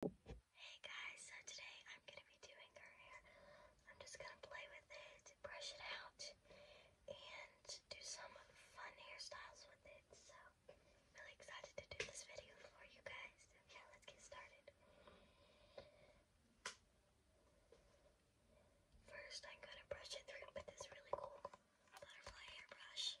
Hey guys, so today I'm going to be doing her hair. I'm just going to play with it, brush it out, and do some fun hairstyles with it. So I'm really excited to do this video for you guys. yeah, let's get started. First, I'm going to brush it through with this really cool butterfly hairbrush.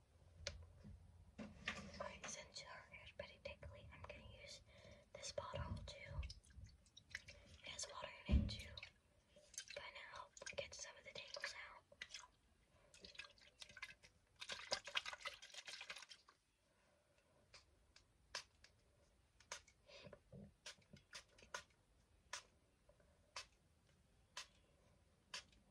Alright, since our hair is pretty tickly, I'm going to use this bottle to, it has water in it to kind of help get some of the tangles out.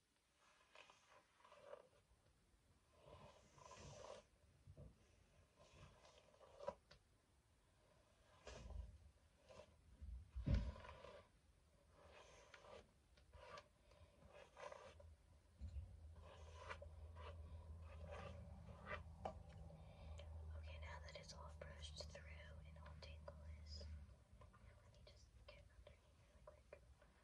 Okay, now that it's all brushed through and all tingle let me just get underneath quick.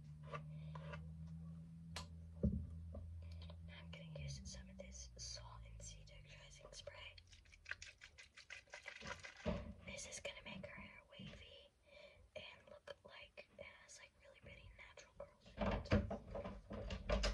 I'm going to use some of this salt and sea texturizing spray. This is going to make our hair wavy and look like it has like really pretty natural curls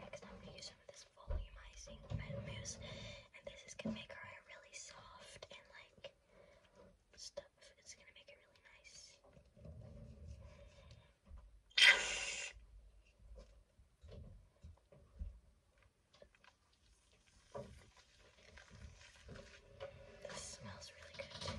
Next, I'm going to use some of this volumizing mousse, and this is going to make our hair really soft and like stuff. It's going to make it really nice. This smells really good too.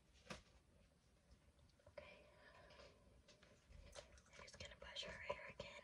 Okay. I'm just gonna brush her hair again.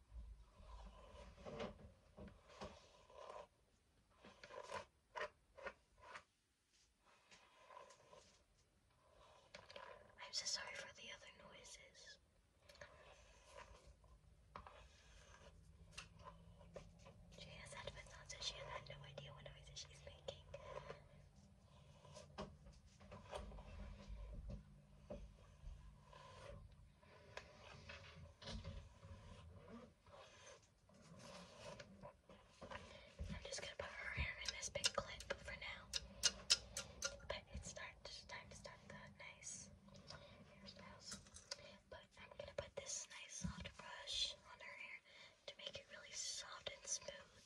I'm so sorry for the other noises. She has headphones on, so she has no idea what noises she's making. I'm just gonna put her hair in this big clip for now. But it's time to, start the nice hairstyles. But I'm gonna put this nice soft brush on her hair to make it really soft and smooth.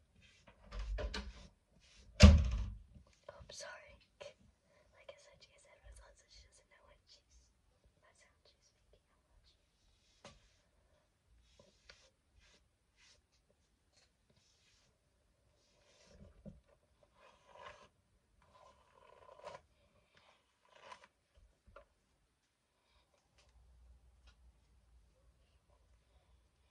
Oh, sorry. Like I said, she has headphones on, so she doesn't know what she's,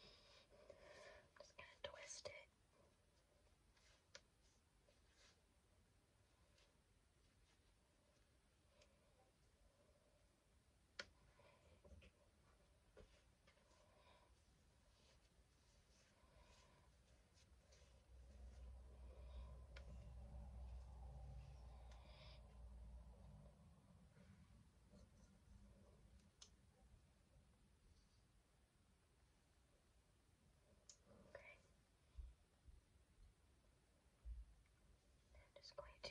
just going to twist it. Okay. I'm just going to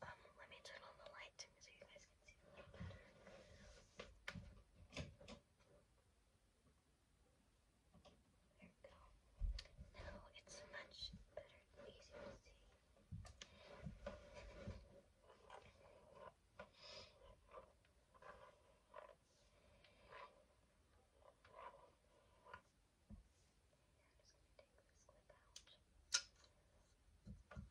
Um, let me turn on the light so you guys can see There we go. Now it's much better easier to see. I'm just going to take this clip out. Okay,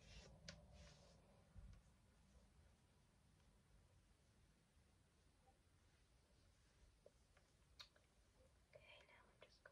Okay, now I'm just going to Okay,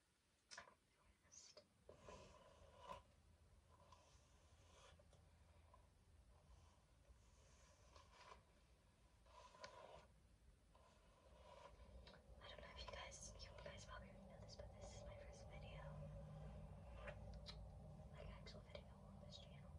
I don't know if you guys, you guys probably know this, but this is my first video, like actual video on this channel.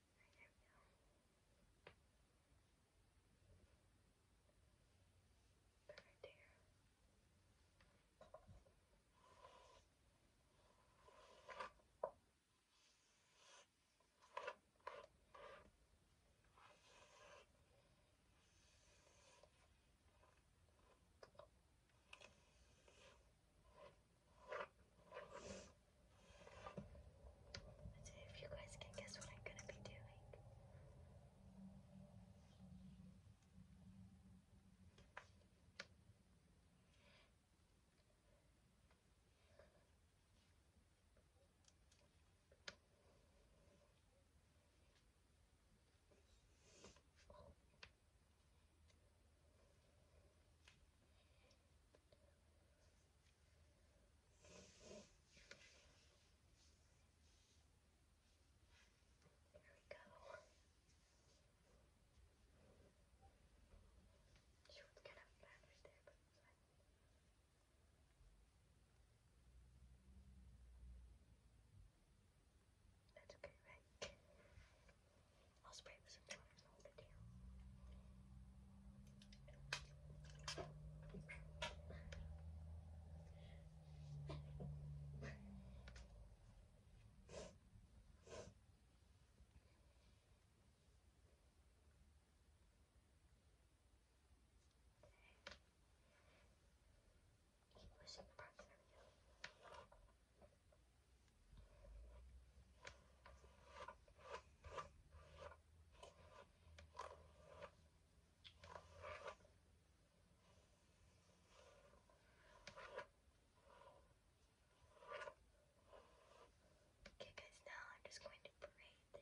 Perfect hair. Perfect. Let's see if you guys can guess what I'm gonna be doing. There we go. She was kind of banished there, but That's okay, right? I'll spray with some glitter and hold it Keep pushing the back, there Okay guys, now I'm just going to braid it.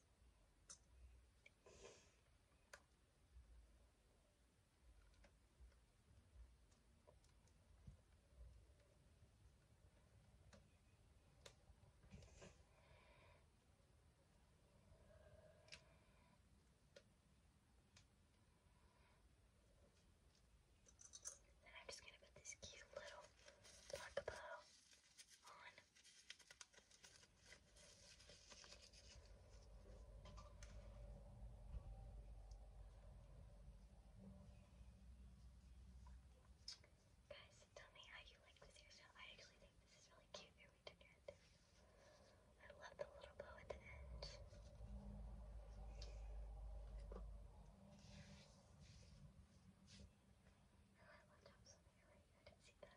Then I'm just going to put this cute little black bow on Guys, tell me how you like this hairstyle. I actually think this is really cute. I love the little bow at the end. Oh, I left off something right. I didn't see that.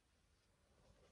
Very soft.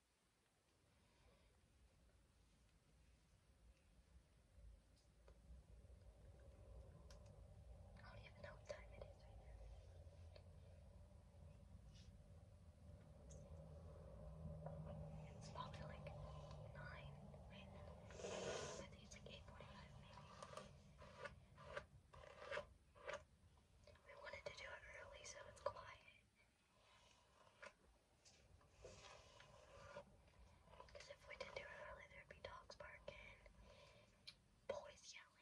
I don't even know what time it is right now. It's probably like 9 right I think it's like 8.45 maybe. We wanted to do it early so it's quiet. Because if we didn't do it early, there'd be dogs barking, boys yelling,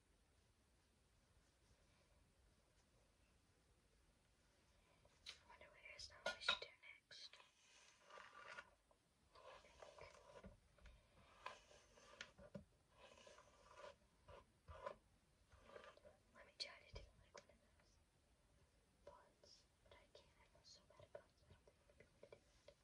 I wonder what hairstyle we should do next. Let me try to do like one of those buns, but I can't. I feel so bad at buns. I don't think I'll be able to do it.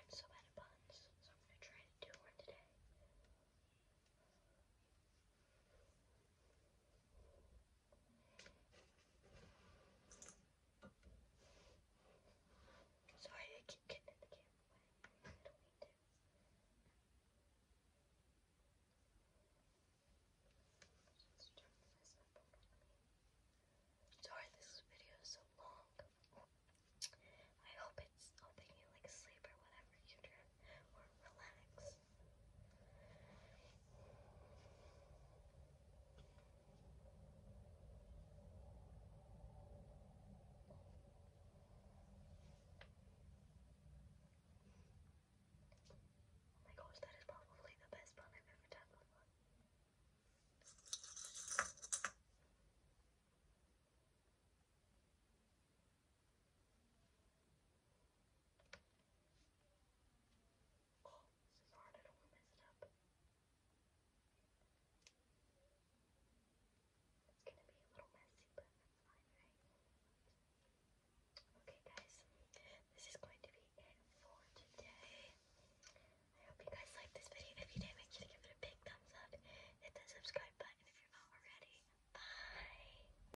I'm so bad at puns, so I'm going to try to do one today. Sorry, I keep getting in the camera way. Sorry, this video is so long. I hope it's helping you like sleep or whatever relax. Oh my gosh, that is probably the best pun I've ever done Oh, this is hard. I don't want to mess it up. It's gonna be a little messy, but that's fine, Okay, guys, this is going to be it for today. I hope you guys liked this video. If you did, make sure to give it a big thumbs up. Hit that subscribe button if you're not already. Bye!